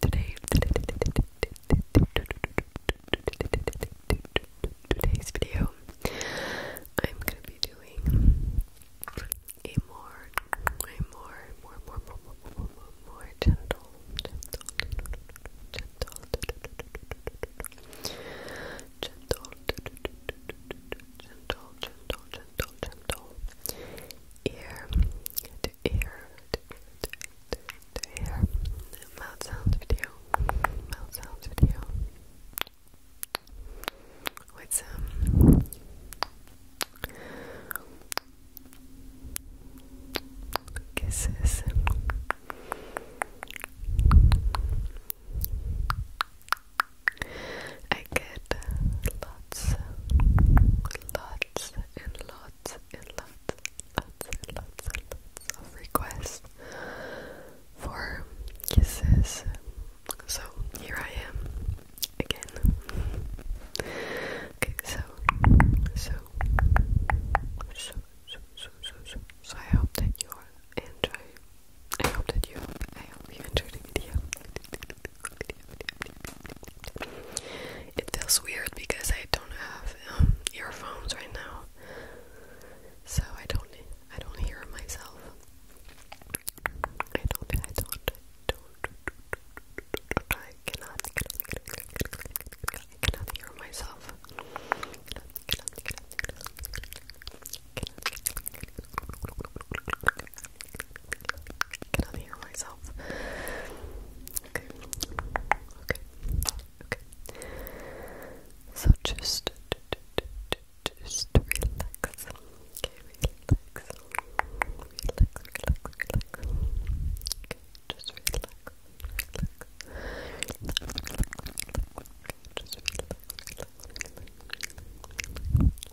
Today, today's video, I'm gonna be doing a more, a more, more, more, more, more, more, more, gentle, gentle, gentle, gentle, gentle, gentle, gentle, gentle ear to ear to ear mouth sounds video mouth sounds video kisses I get lots, lots and lots and lots, lots lots of requests for kisses. So here I am again. Okay, so, so, so, so, so, so, so I hope that you enjoy. I hope that you, I hope you enjoyed the video. It feels weird because I don't have um, earphones right now, so I don't I don't hear myself. I don't I don't I don't I cannot I cannot myself. cannot, cannot, I cannot, I cannot myself. Okay. Okay. Okay. So just just relax. Okay, relax. Relax, relax, relax. Okay, just relax. Relax. Relax. just relax.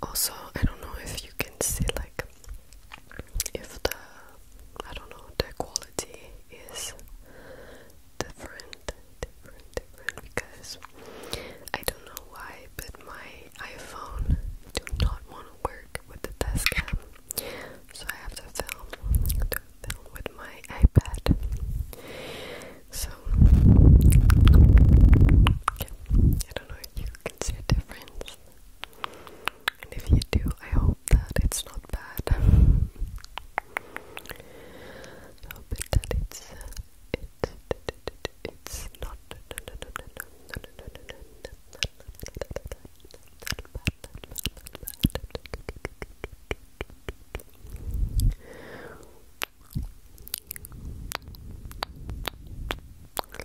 Also, I don't know if you can see like if the I don't know the quality is different, different, different because I don't know why, but my iPhone do not want to work with the desk cam, so I have to film, to film with my iPad. So I don't know if you can see a difference, and if you do, I hope that it's not bad hope it, that it's, uh, it's, it's not, no, no, no, no, no, no, no, no, no, no, Good,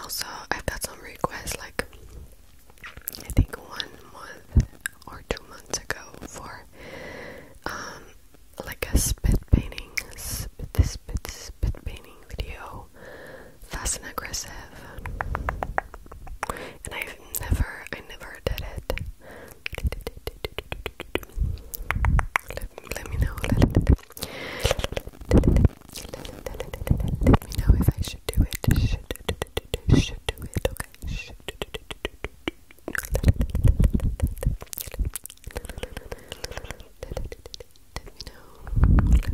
Also, I've got some requests like I think one month or two months ago for um like a spit painting spit spit spit painting video fast and aggressive and I've never I never did it let, me know. Let, me know if I should do it. Should, do it. Should, let me know. Let me know. Let me know.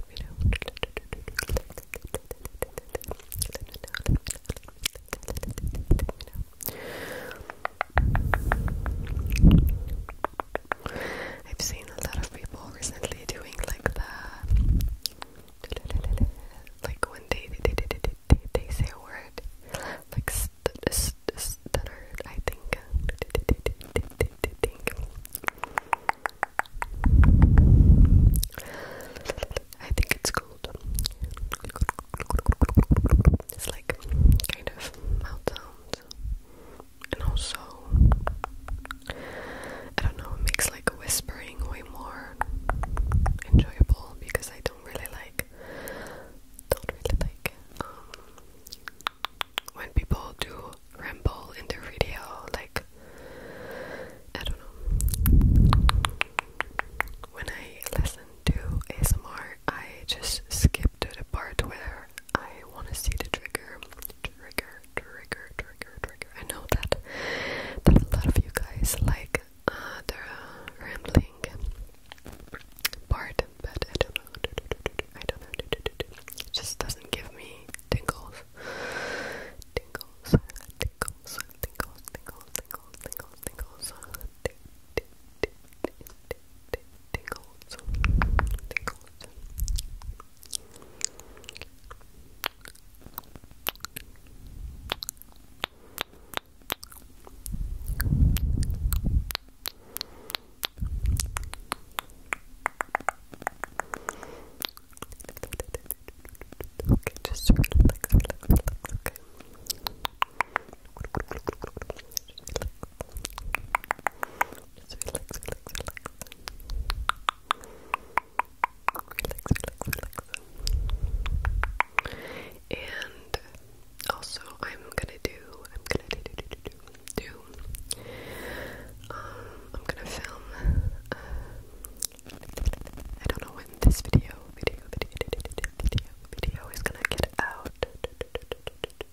I've seen a lot of people recently doing like the like when they they, they, they, they, say a word like st I think I think it's called it's like kind of mouth sounds and also I don't know, it makes like whispering way more enjoyable because I don't really like don't really like um, when people do ramble in their video like I don't know when I listen to ASMR I just skip to the part where I want to see the trigger, trigger, trigger, trigger, trigger. I know that that a lot of you guys like uh, the uh, rambling part, but I don't know. I don't know. It just doesn't give me tingles. Tingles, tingles, tingles, tingles, tingles, tingles, tingles. tingles tickles, tickles. Okay, just relax, relax, and also, I'm gonna do. I'm gonna do. do, do, do, do. Um, I'm gonna film. Uh, I don't know when this video, video, video, video, video is gonna get out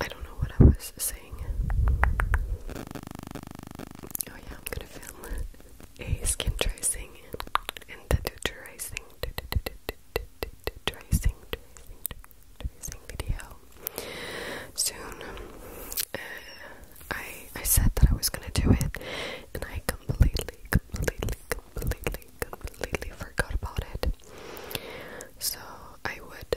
I don't know what I was saying. Oh yeah, I'm gonna film a skin tracing and tattoo tracing, tracing, tracing video soon. Uh, I I said that I was gonna do it, and I completely, completely, completely, completely forgot about it. So I would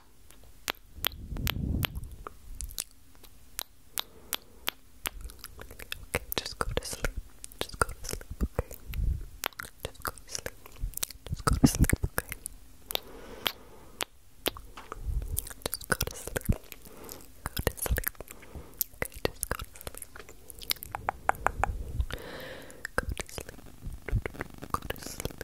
Okay, just go to sleep. Just go to sleep, okay? Just go to sleep. Just go to sleep, okay? Just go to sleep. Go to sleep. Okay, just go to sleep. Go to sleep. Go to sleep.